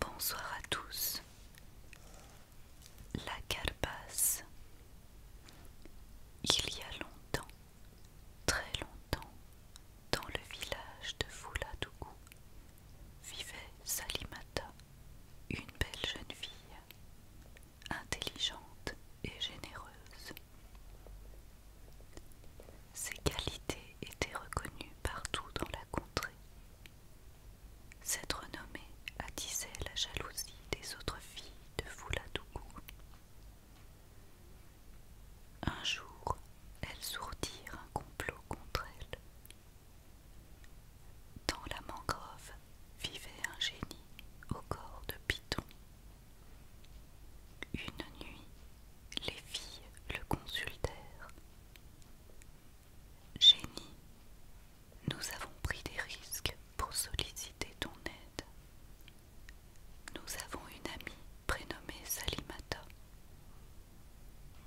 Bonsoir à tous. La carapace. Il y a longtemps, très longtemps, dans le village de Fouladougou, vivait Salimata, une belle jeune fille intelligente et généreuse. Ses qualités étaient reconnues partout dans la contrée. Cette renommée attisait la jalousie des autres filles de Fouladougou. Un jour, elles sortirent un complot contre elle. Dans la mangrove vivait un génie au corps de Python. Une nuit, les filles le consultèrent. Génie, nous avons pris des risques pour solliciter ton aide. Nous avons une amie prénommée Salimata.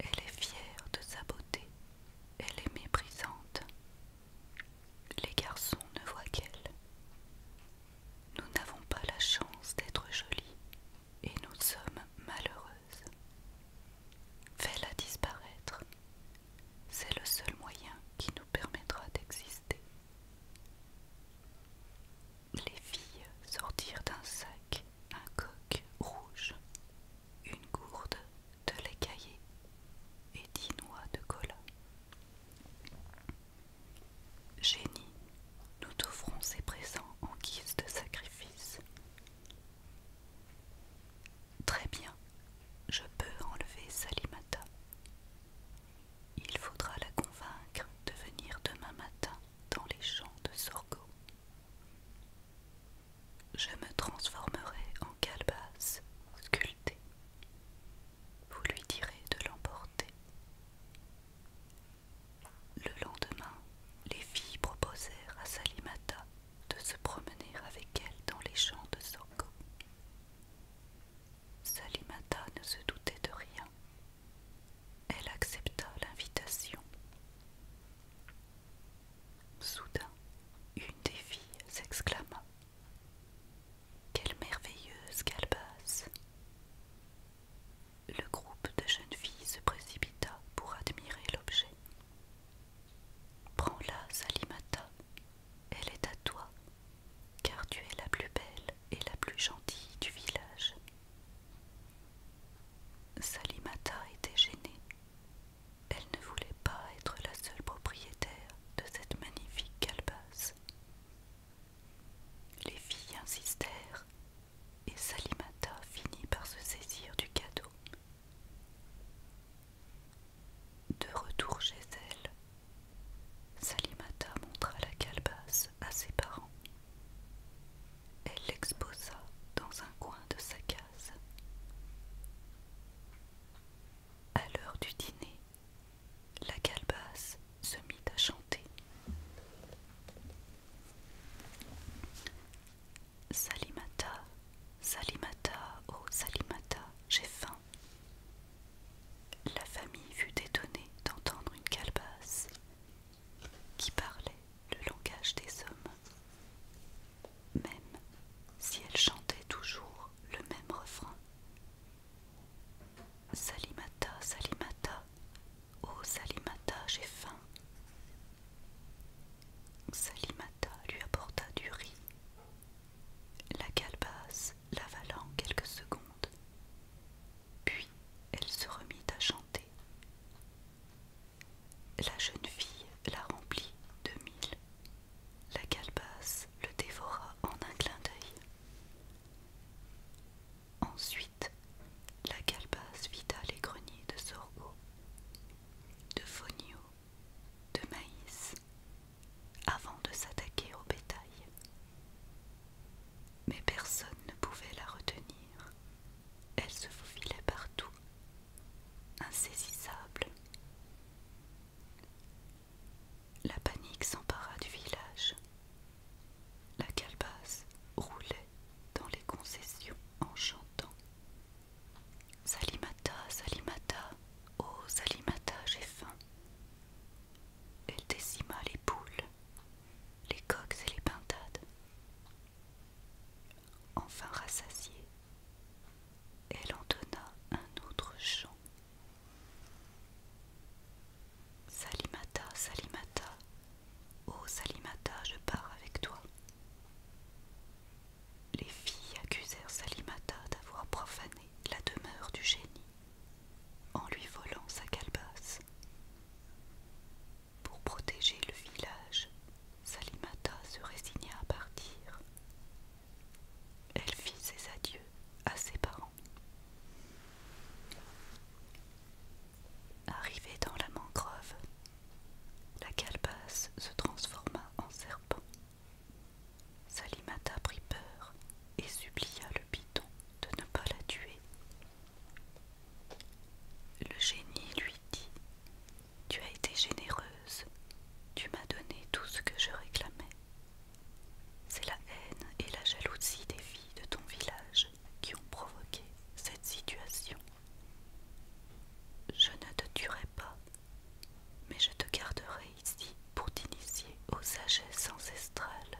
Elle est fière de sa beauté, elle est méprisante, les garçons ne voient qu'elle. Nous n'avons pas la chance d'être jolies et nous sommes malheureuses. Fais-la disparaître. C'est le seul moyen qui nous permettra d'exister. Les filles sortirent d'un sac un coq rouge une gourde de lait caillé et dix noix de cola. Génie, nous t'offrons ces présents en guise de sacrifice. Très bien, je peux enlever Salimata. Il faudra la convaincre de venir demain matin dans les champs de Sorgo. Je me transformerai en calebasse sculptée. Vous lui direz de l'emporter. Le lendemain, les filles proposèrent à Salimata de se promener avec elle dans les champs de Soko. Salimata ne se doutait de rien. Elle accepta l'invitation. Soudain, une des filles s'exclama. Quelle merveilleuse calebasse Le groupe de jeunes filles se précipita pour admirer l'objet. Prends-la, Salimata, elle est à toi, car tu es la plus belle et la plus gentille du village. Salimata était gênée. Elle ne voulait pas être la seule propriétaire de cette magnifique calebasse. Les filles insistèrent et Salimata finit par se saisir du cadeau. De retour chez elle, Salimata montra la calebasse à ses parents. Elle l'exposa dans un coin de sa case. À l'heure du dîner, la calebasse se mit à chanter. Salimata, Salimata, oh Salimata, j'ai faim. La famille fut étonnée d'entendre une calebasse qui parlait le langage des hommes, même si elle chantait toujours le même refrain. Salimata, Salimata, oh Salimata, j'ai faim. Salimata lui apporta du riz. La calebasse l'avalant quelques secondes. Puis elle se remit à chanter. La jeune fille la remplit de mille. La calebasse le dévora en un clin d'œil. Ensuite, la calebasse vida les greniers de sorgho, de fonio, de maïs, avant de s'attaquer au bétail. Mais personne ne pouvait la retenir. Elle se faufilait partout, insaisissable. La panique s'empara du village. La calebasse roulait dans les concessions en chantant. Salimata, Salimata, oh Salimata, j'ai faim. Elle décima les poules, les coqs et les pintades. Enfin rassasiée, elle entonna un autre chant. Salimata, Salimata, oh Salimata, je pars avec toi. Les filles accusèrent Salimata d'avoir profané la demeure du génie en lui volant sa calebasse. Pour protéger le village, Salimata se résigna à partir. Elle fit ses adieux à ses parents. Arrivée dans la mangrove, la calebasse se transforma en serpent. Salimata prit peur et supplia le bidon de ne pas la tuer. Le génie lui dit Tu as été généreuse, tu m'as donné tout ce que je réclamais. C'est la haine et la jalousie des filles de ton village qui ont provoqué cette situation. Je ne te tuerai pas mais je te garderai ici pour t'initier aux sagesses ancestrales.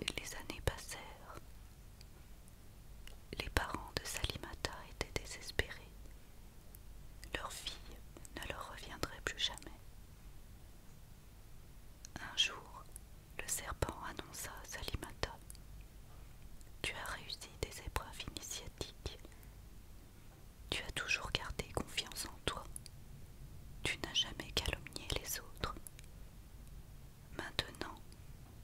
Les années passèrent. Les parents de Salimata étaient désespérés. Leur fille ne leur reviendrait plus jamais. Un jour, le serpent annonça à Salimata tu as réussi des épreuves initiatiques. Tu as toujours gardé confiance en toi. Tu n'as jamais calomnié les autres. Maintenant,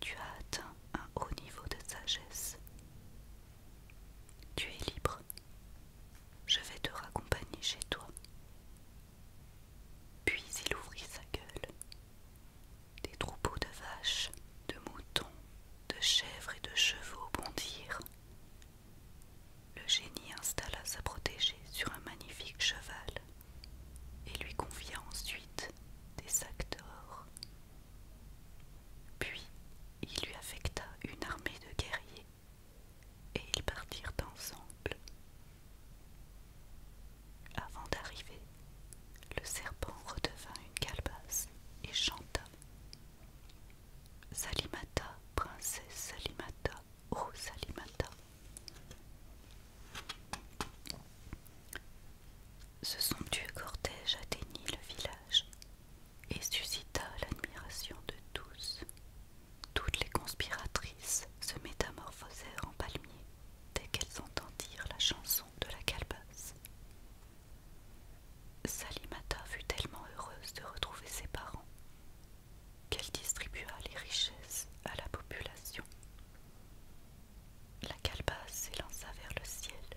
tu as atteint un haut niveau de sagesse. Tu es libre. Je vais te raccompagner chez toi. Puis il ouvrit sa gueule des troupeaux de vaches, de moutons, de chèvres et de chevaux bondirent. Le génie installa sa protégée sur un magnifique cheval et lui confia ensuite des sacs d'or. Puis il lui affecta une armée de guerriers et ils partirent ensemble avant d'arriver, le serpent redevint une calebasse et chanta. Salimata, princesse Salimata, ô Salimata. Ce somptueux cortège atteignit le village et suscita l'admiration de tous toutes les conspiratrices se métamorphosèrent en palmiers dès qu'elles entendirent la chanson de la calebasse. Salimata fut tellement heureuse de retrouver ses parents qu'elle distribua les richesses à la population. La calebasse s'élança vers le ciel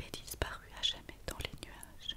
et disparut à jamais dans les nuages.